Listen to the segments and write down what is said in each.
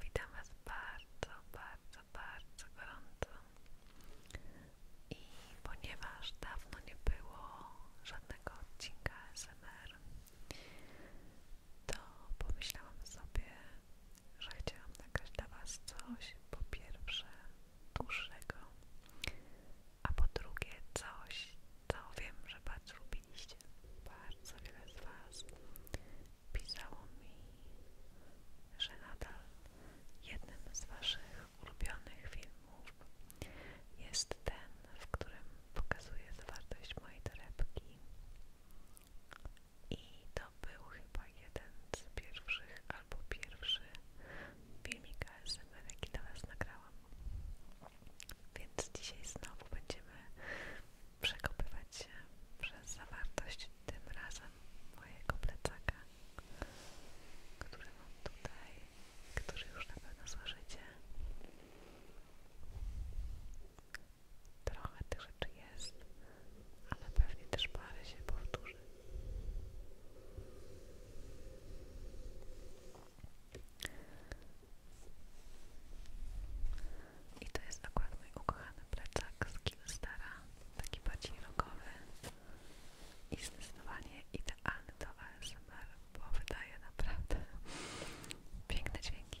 Witam Was bardzo, bardzo, bardzo gorąco. I ponieważ dawno nie było żadnego odcinka SMR, to pomyślałam sobie, że chciałam nagrać dla Was coś po pierwsze dłuższego, a po drugie coś, co wiem, że bardzo lubiliście. Bardzo wiele z Was pisało mi, że nadal jednym z Waszych ulubionych filmów jest ten, w którym pokazuje zawartość mojej torebki. I to był chyba jeden z pierwszych albo pierwszy filmik ASMR, jaki dla Was nagrałam. Więc dzisiaj znowu będziemy przekopywać się przez zawartość tym razem mojego plecaka, który mam tutaj, który już na pewno złożycie. Trochę tych rzeczy jest, ale pewnie też parę się powtórzy. I to jest akurat mój ukochany plecak z Killstara, taki bardziej rockowy i zdecydowanie idealny do ASMR, bo wydaje naprawdę piękne dźwięki.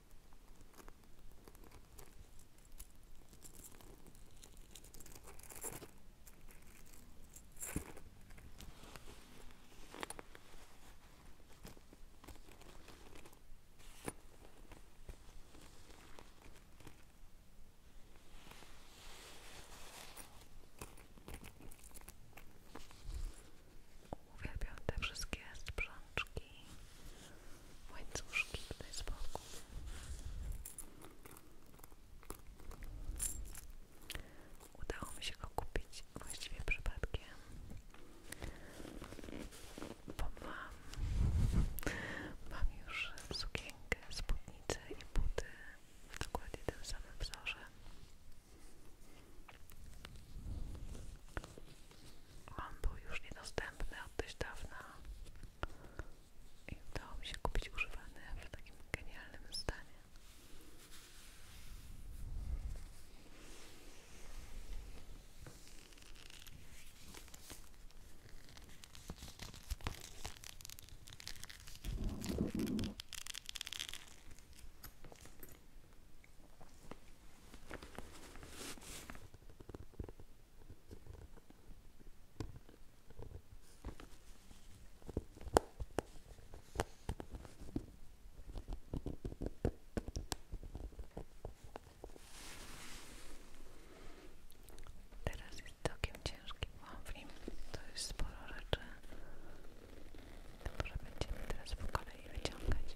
Uwielbiam te wszystkie sprzączki łańcuszki tutaj z boku. Udało mi się go kupić właściwie przypadkiem, bo mam, mam już sukienkę, spódnicę i buty w dokładnie tym samym wzorze on był już niedostępny od dość dawna i udało mi się kupić używany w takim genialnym stanie. Teraz jest całkiem ciężki waflim, to jest sporo rzeczy, to może będziemy teraz po kolei wyciągać.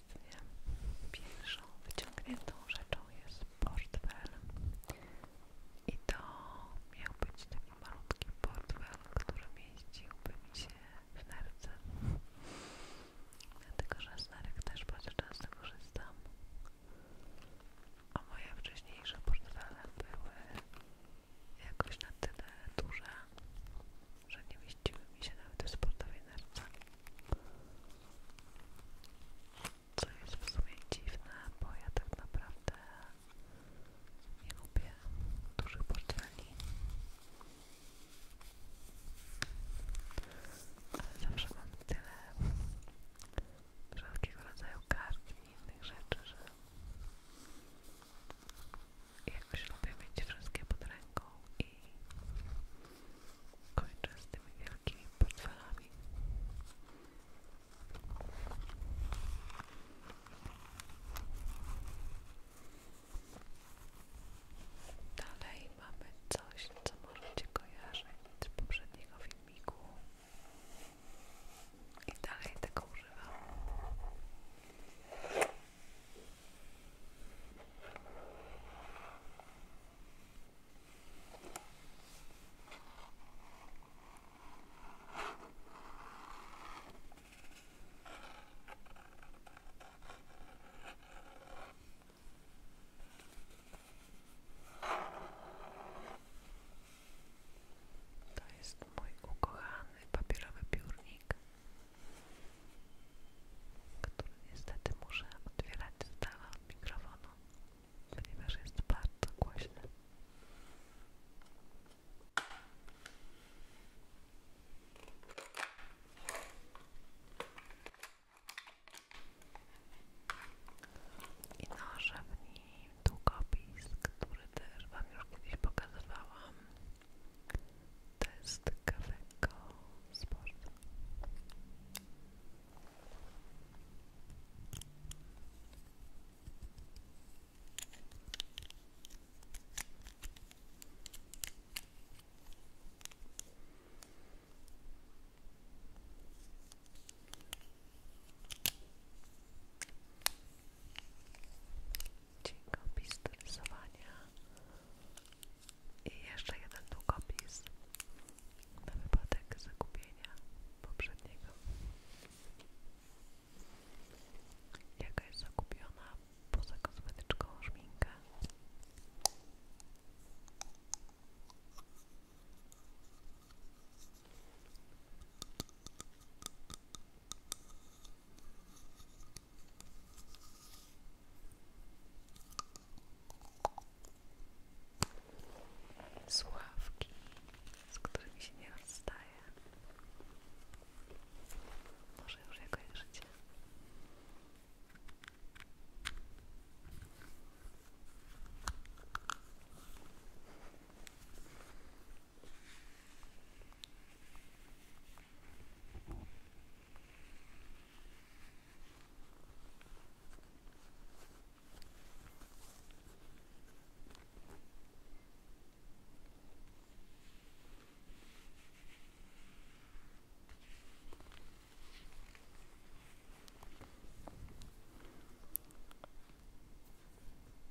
następstwie pierwszą wyciągniętą rzeczą jest portfel i to miał być taki malutki portfel, który mieściłby mi się w nerce dlatego, że z nerek też bardzo często korzystam a moje wcześniejsze portfele były jakoś na tyle duże, że nie mieściły mi się nawet w sportowej nerce. Co jest w sumie dziwne, bo ja tak naprawdę nie lubię dużych portfeli. Ale zawsze mam tyle wszelkiego rodzaju kart i innych rzeczy, że jakoś lubię mieć wszystkie pod ręką i kończę z tymi wielkimi portfelami. Dalej mamy coś, co możecie kojarzyć z poprzedniego filmiku i dalej tego używam. To jest mój ukochany papierowy piórnik który niestety muszę otwierać z dala od mikrofonu, ponieważ jest bardzo głośny. I noże w nim, długopis, który też Wam już kiedyś pokazywałam. To jest kaweko z Dzięki opis i jeszcze jeden długopis na wypadek zakupienia poprzedniego. Jakaś zakupiona poza kosmetyczką szminkę. Sławki, z którymi się nie rozstaje. Może już jakoś życie.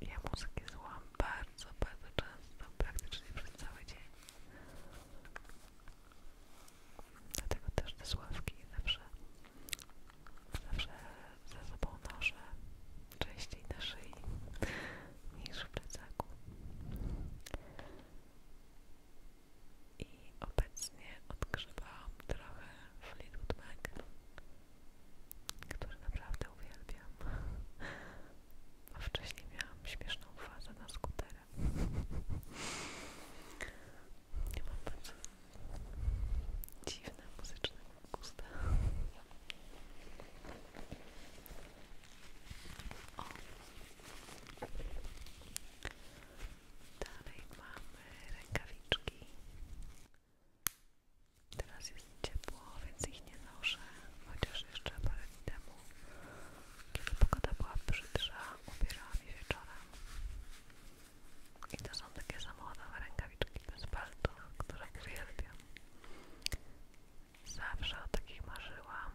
Ja muzykę słucham bardzo często, praktycznie przez cały dzień. Dlatego też te sławki zawsze, zawsze ze sobą noszę, częściej na szyi niż w plecaku. I obecnie odgrzewałam trochę Fleetwood Mac, który naprawdę uwielbiam. Bo wcześniej miałam śmieszną fazę na skutek kamerę. Nie mam bardzo dziwne rękawiczki. Teraz jest ciepło, więc ich nie noszę, chociaż jeszcze parę dni temu kiedy pogoda była brzydsza, ubierałam je wieczorem. I to są takie samochodowe rękawiczki bez palców, które uwielbiam. Zawsze o takich marzyłam.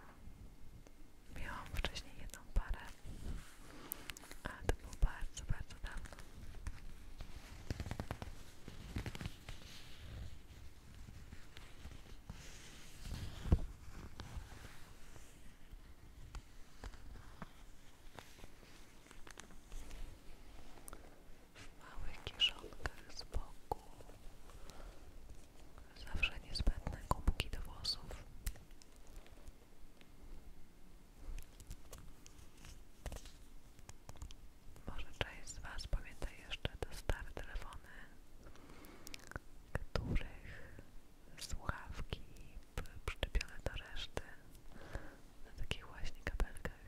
Miałam wcześniej jedną parę, ale to było bardzo, bardzo dawno w małych z boku zawsze niezbędne kubki do włosów może część z Was pamięta jeszcze te stare telefony których słuchawki były przyczepione do reszty na takich właśnie kabelkach.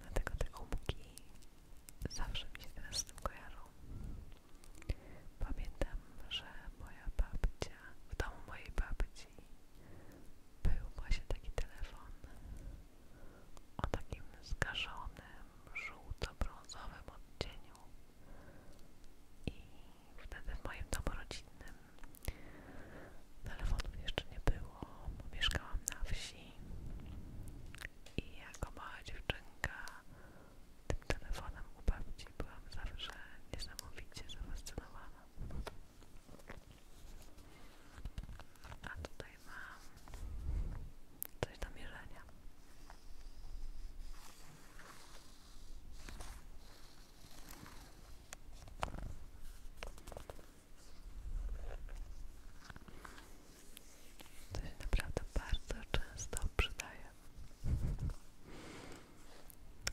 Dlatego te gumki zawsze mi się teraz z tym kojarzą. Pamiętam, że moja babcia, w domu mojej babci był właśnie taki telefon o takim zgaszonym żółto-brązowym odcieniu i wtedy w moim domu rodzinnym telefonów jeszcze nie było, bo mieszkałam na wsi i jako mała dziewczynka tym telefonem u babci byłam zawsze niesamowicie zafascynowana. A tutaj mam to się naprawdę bardzo często przydaje.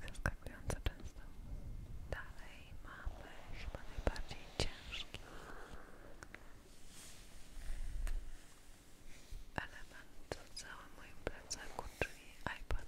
Zaskakująco często. Dalej mamy chyba najbardziej ciężkie element w całym moim plecaku, czyli iPad.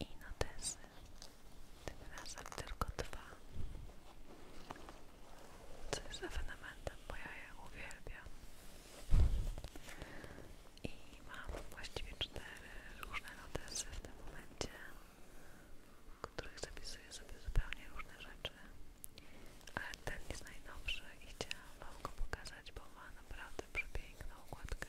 i notesy, tym razem tylko dwa, co jest ewenementem, bo ja je uwielbiam i mam właściwie cztery różne notesy w tym momencie, w których zapisuję sobie zupełnie różne rzeczy, ale ten jest najnowszy i chciałam go pokazać, bo ma naprawdę przepiękną układkę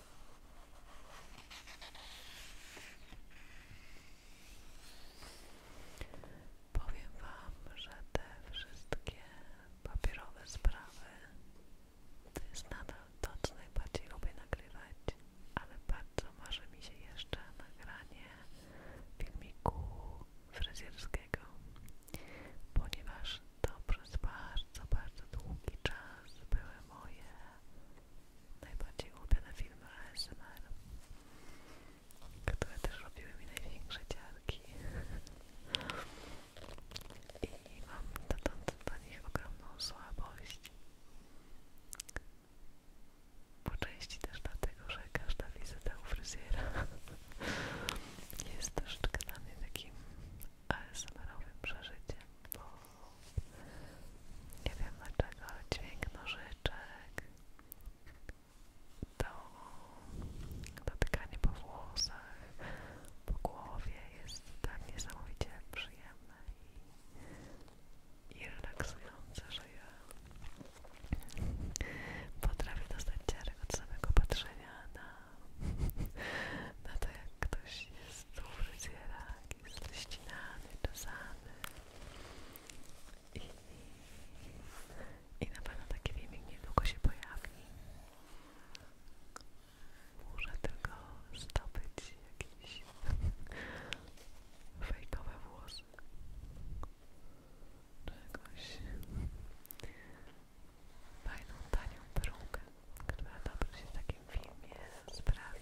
Powiem Wam, że te wszystkie papierowe sprawy to jest nadal to, co najbardziej lubię nagrywać, ale bardzo marzy mi się jeszcze nagranie filmiku fryzjerskiego, ponieważ to przez bardzo, bardzo długi czas były moje najbardziej na filmy ASMR, które też robiły mi największe ciarki. I mam dotąd do nich ogromną słabość. Po części też dlatego, że każda wizyta u fryzjera jest troszeczkę dla mnie takim ASMR-owym przeżyciem, nie wiem dlaczego, dźwięk nożyczek, to dotykanie po włosach, po głowie jest tak niesamowicie przyjemne i, i relaksujące, że ja potrafię dostać ciarek od samego patrzenia na, na to, jak ktoś stół fryzjera jest ścinany, czesany i, i na pewno taki filmik niedługo się pojawi. Muszę tylko zdobyć jakieś fejkowe włosy czegoś fajną, tanią perukę która dobrze się w filmie sprawi.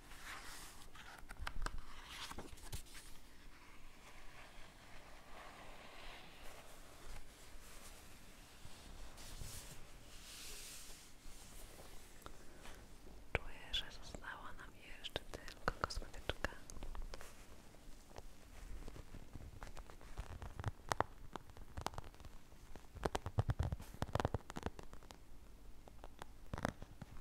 To że została nam jeszcze tylko kosmetyczka.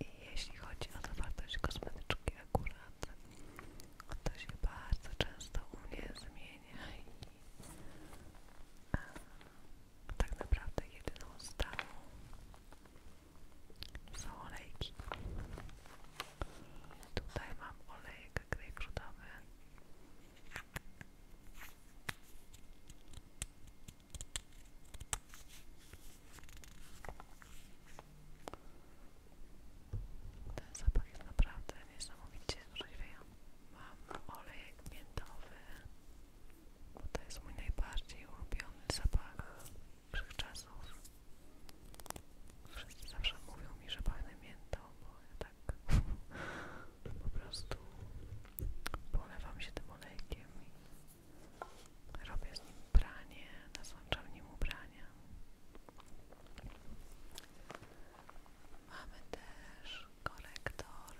I jeśli chodzi o zawartość kosmetyczki akurat, to się bardzo często u mnie zmienia a, tak naprawdę jedyną stałą są olejki. Tutaj mam olejkę, olejek grejpfrutowy. Ten zapach jest naprawdę niesamowicie orzeźwiający. Mam olejek miętowy, bo to jest mój najbardziej ulubiony zapach wszechczasów. Wszyscy zawsze mówią mi, że pachnę miętą, bo ja tak po prostu polewam się tym olejkiem Robię z nim nim ubrania. Mamy też korektor.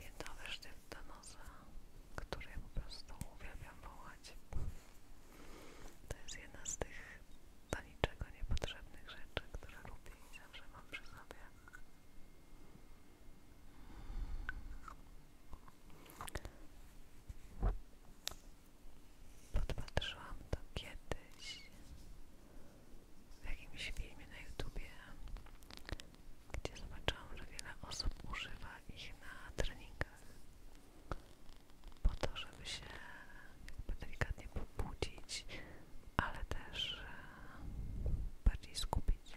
Miętowy sztyw który ja po prostu uwielbiam wołać. To jest jedna z tych do niczego niepotrzebnych rzeczy, które lubię i zawsze mam przy sobie. Podpatrzyłam to kiedyś w jakimś filmie na YouTubie, gdzie zobaczyłam, że wiele osób używa ich na treningach po to, żeby się jakby delikatnie pobudzić, ale też e, bardziej skupić.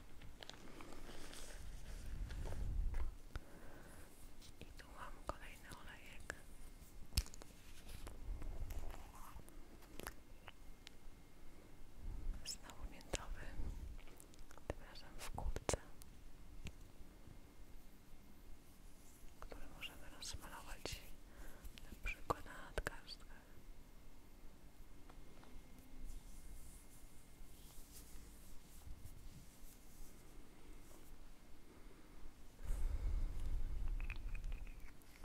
I tu mam kolejny olejek. Znowu miętowy, tym razem w które możemy rozmalować na przykład na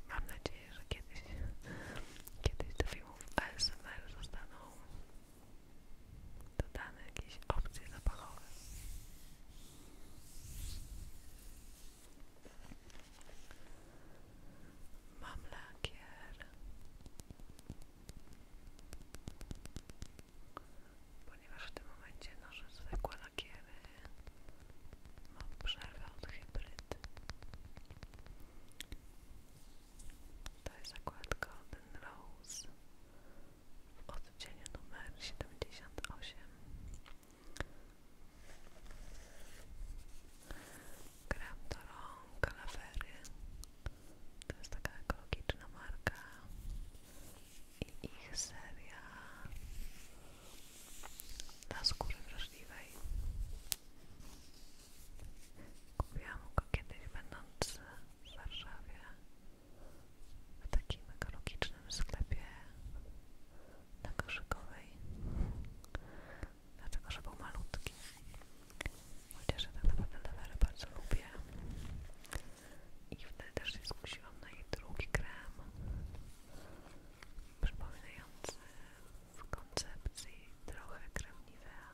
Mam nadzieję, że kiedyś, kiedyś do filmów ASMR zostaną dodane jakieś opcje zapachowe. Mam lakier, ponieważ w tym momencie noszę zwykłe lakiery, mam przerwę od hybryd. To jest zakładka golden Rose w odcieniu numer 78 krem do rąk to jest taka ekologiczna marka i ich seria Na skóry wrażliwej Kupiłam go kiedyś będąc w Warszawie w takim ekologicznym sklepie na Koszykowej dlatego, że był malutki chociaż ja tak naprawdę bardzo lubię i wtedy też się skusiłam na jej drugi krem przypominający w koncepcji trochę krem Nivea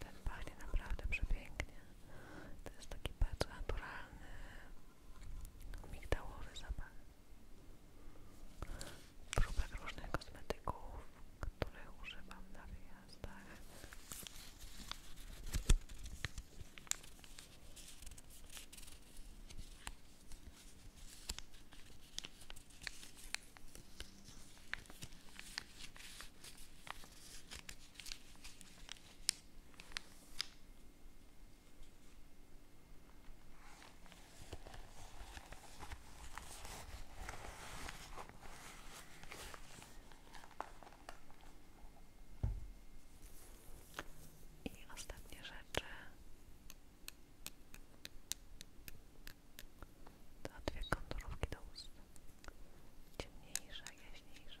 ten pachnie naprawdę przepięknie. To jest taki bardzo naturalny migdałowy zapach. Próbek różnych kosmetyków, których używam na wyjazdach. I ostatnie rzeczy dwa dwie do ust. ciemniejsze, jaśniejsze.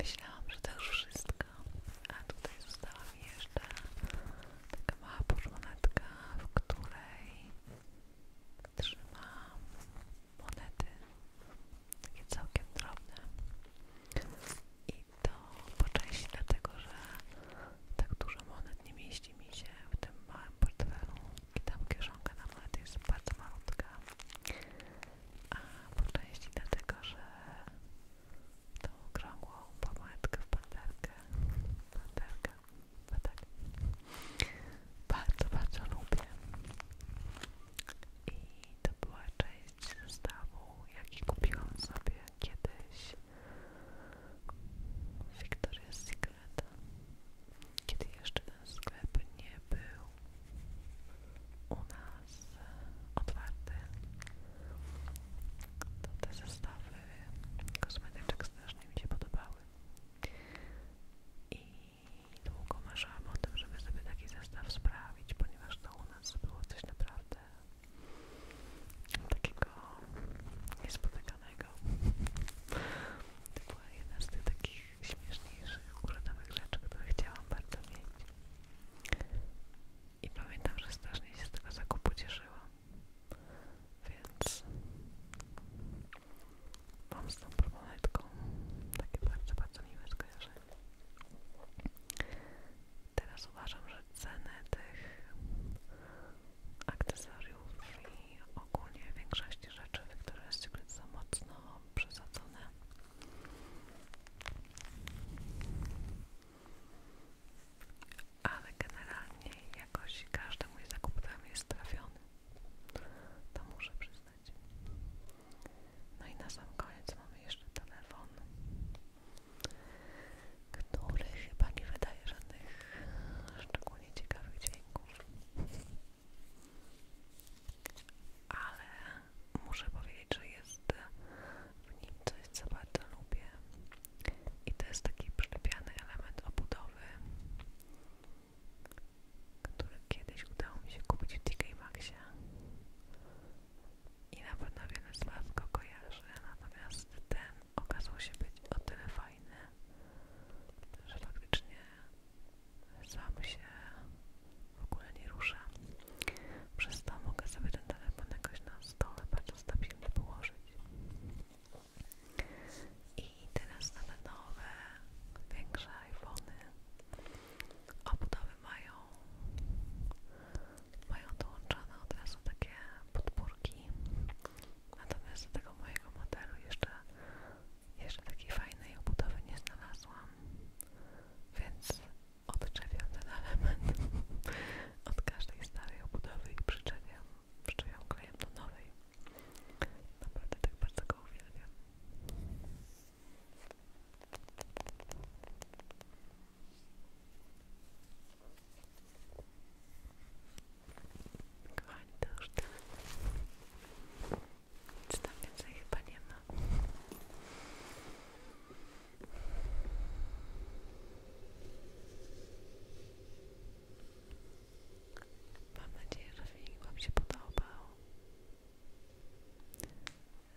Myślałam, że to już wszystko, a tutaj została mi jeszcze taka mała porządka, w której Trzymam monety, takie całkiem drobne. I to po części dlatego, że tak dużo monet nie mieści mi się w tym małym portfelu i tam kieszonka na monety jest bardzo malutka. A po części dlatego, że tą okrągłą pomadkę w panterkę, panterkę bo no tak. Bardzo, bardzo lubię. I to była część zestawu, jaki kupiłam sobie kiedyś Victoria's Secret. Kiedy jeszcze ten sklep nie był u nas otwarty, to te zestawy kosmetyczek strasznie mi się podobały. I długo marzyłam o tym, żeby sobie taki zestaw sprawić, ponieważ to u nas było coś naprawdę takiego niespotykanego. To była jedna z tych takich śmieszniejszych, urodowych rzeczy, które chciałam bardzo mieć. I pamiętam, że strasznie się z tego zakupu cieszyłam więc mam z tą proponetką takie bardzo, bardzo miłe skojarzenie. Teraz uważam, że ceny tych akcesoriów i ogólnie większości rzeczy Victoria's Secret są mocno przesadzone. Ale generalnie jakoś każdy mój zakup tam jest trafiony. To muszę przyznać. No i na sam koniec mamy jeszcze telefon, który chyba nie wydaje żadnych szczególnie ciekawych dźwięków. Ale muszę powiedzieć, że jest w nim coś, co bardzo lubię. I to jest taki przylepiany element obudowy które kiedyś udało mi się kupić w TK Maxie i na pewno wiele z Was go kojarzy, natomiast ten okazał się być o tyle fajny, że faktycznie sam się w ogóle nie rusza. Przez to mogę sobie ten telefon jakoś na stole bardzo stabilnie położyć. I teraz na te nowe, większe iPhony obudowy mają mają dołączone od razu takie podpórki. Natomiast do tego mojego modelu jeszcze, jeszcze takiej fajnej obudowy nie znalazłam. Więc odczepiam ten element od każdej starej obudowy i przyczepiam przyjąłem klejem do nowej. Naprawdę tak bardzo go uwielbiam. Kochani, to już tyle. Tak. Nic tam więcej chyba nie ma. Mam nadzieję, że filmik Wam się podobał,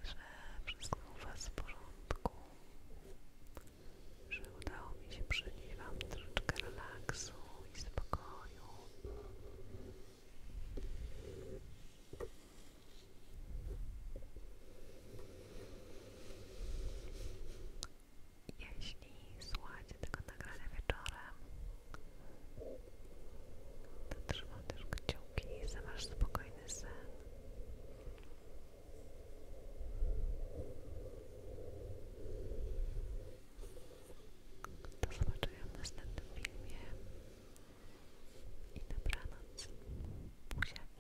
że wszystko u Was w porządku, że udało mi się przynieść Wam troszeczkę relaksu i spokoju jeśli słuchacie tego nagrania wieczorem, to trzymam też kciuki za Wasz spokojny sen. Do zobaczenia w następnym filmie i dobranoc. Buziaki.